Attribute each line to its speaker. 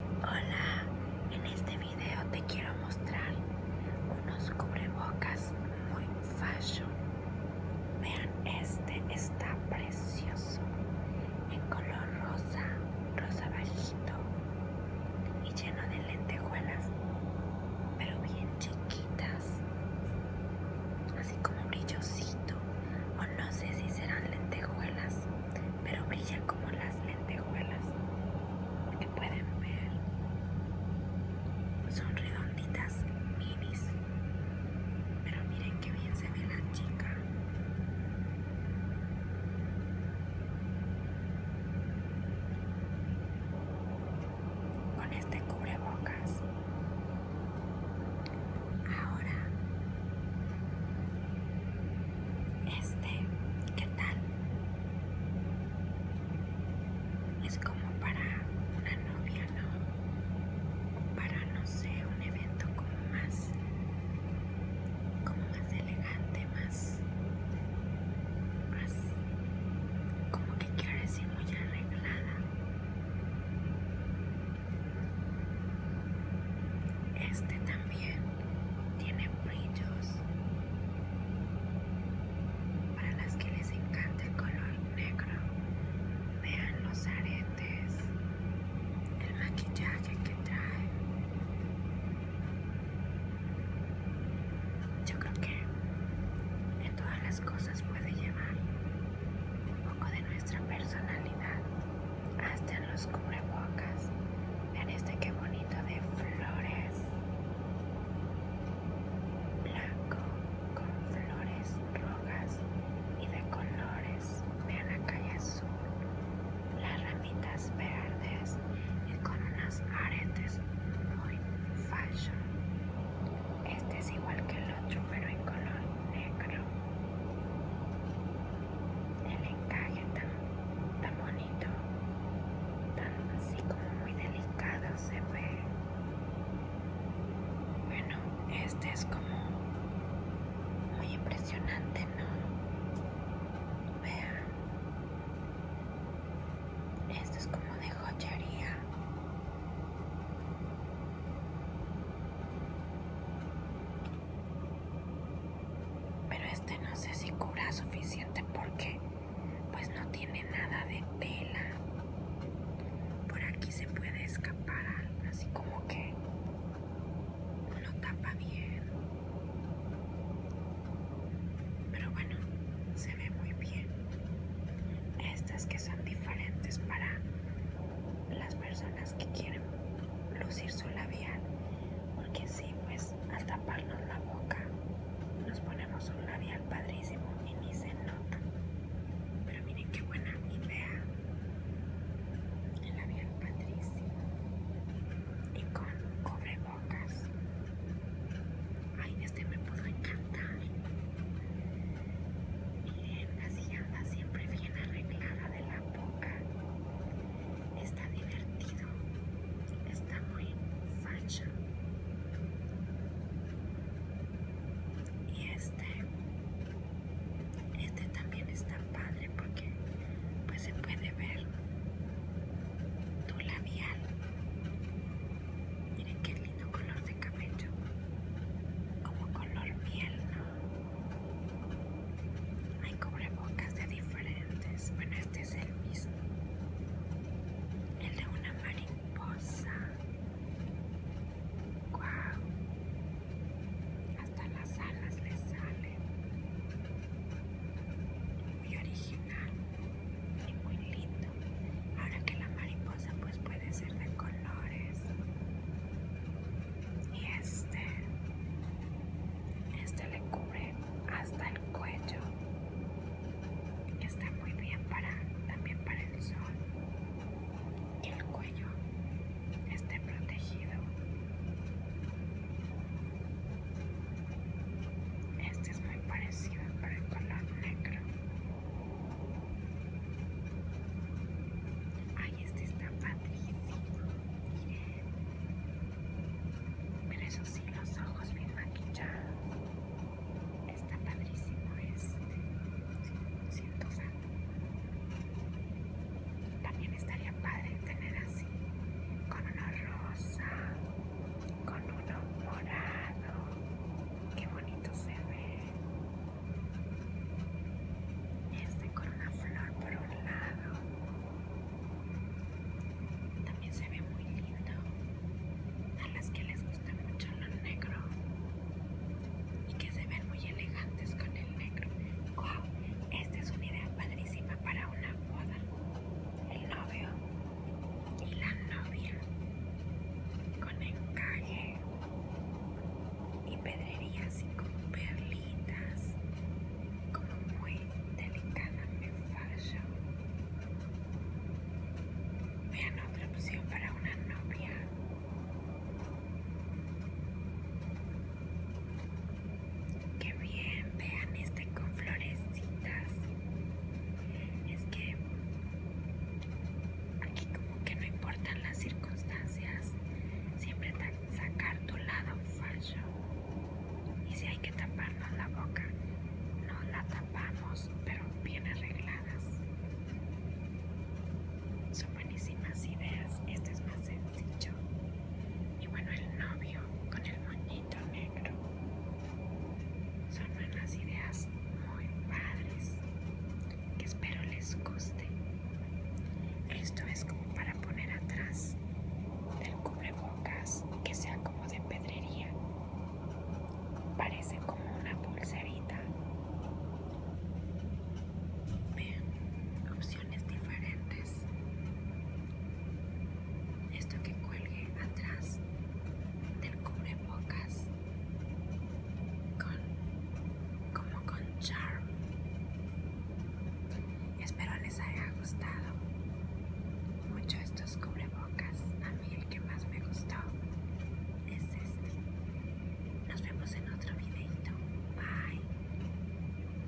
Speaker 1: Hola, en este video te quiero mostrar unos cubrebocas muy fashion. Vean, este está precioso en color rosa, rosa bajito y lleno de lentejuelas, pero bien chiquitas, así como brillosito no sé si serán lentejuelas, pero brillan como las lentejuelas que pueden ver. Son redonditas, minis, pero miren que bien se ve la chica. Con este cubrebocas Ahora, este, ¿qué tal? Es como para una novia, ¿no? Para, no sé, un evento como más, como más elegante, más, más, como que quiero decir muy arreglada. Este también tiene brillos para las que les encanta el color negro. Vean los aretes, el maquillaje que trae. Yo creo que en todas las cosas puede llevar un poco de nuestra personalidad hasta en los cubrebocas. Vean este que bonito de flores. Blanco con flores rojas y de colores. Vean la calle azul. Las ramitas verdes y con unas aretes muy fashion. Este es igual que el otro pero en color negro el encaje tan, tan bonito tan así como muy delicado se ve bueno este es como muy impresionante no vean esto es como de joyería pero este no sé si cura suficiente porque pues no tiene nada de tela. Por aquí se puede escapar así como que no tapa bien. Pero bueno, se ve muy bien. Estas que son diferentes para las personas que quieren lucir su labial porque si pues al taparnos la boca nos ponemos un labial padrísimo y ni se nota pero miren qué buena idea el labial padrísimo y con cobrebocas ay este me pudo encantar Así anda siempre bien arreglada de la boca. Está divertido. Está muy facha Y este. Este también está padre porque pues se puede ver tu labial Miren qué lindo color de cabello. Como color miel, Hay cubrebocas de diferentes. Bueno, este es el mismo. El de una mariposa. ¡Guau! Hasta las alas le salen. Muy original y muy lindo. Ahora que la mariposa pues puede ser de colores. Y este, este le cubre hasta el cuello. Está muy bien para también para el sol. Y el cuello esté protegido. Este es muy parecido, para el color negro ay este está padrísimo miren pero eso sí los ojos bien maquillados está padrísimo este siento santo también estaría padre tener así con una rosa con uno morado. Qué bonito se ve. Este con una flor por un lado. También se ve muy lindo. A las que les gusta mucho lo negro. Y que se ven muy elegantes con el negro. ¡Wow! Esta es una idea padrísima para una boda. El novio y la novia con encaje y pedrería así como perlitas como muy me fallo. vean otra opción para una novia Qué bien, vean este con florecitas. Es que aquí como que no importan las circunstancias. Siempre sacar tu lado fallo Y si hay que taparnos la boca, no la tapamos, pero bien arregladas. Son buenísimas ideas. Este es más sencillo. Y bueno, el novio con el muñeco. Son unas ideas muy padres que espero les guste. Esto es como para poner atrás del cubrebocas que sea como de pedrería. Parece como una pulserita. Vean, opciones diferentes esto que cuelgue atrás del cubrebocas con como con charm espero les haya gustado mucho estos cubrebocas a mí el que más me gustó es este nos vemos en otro videito bye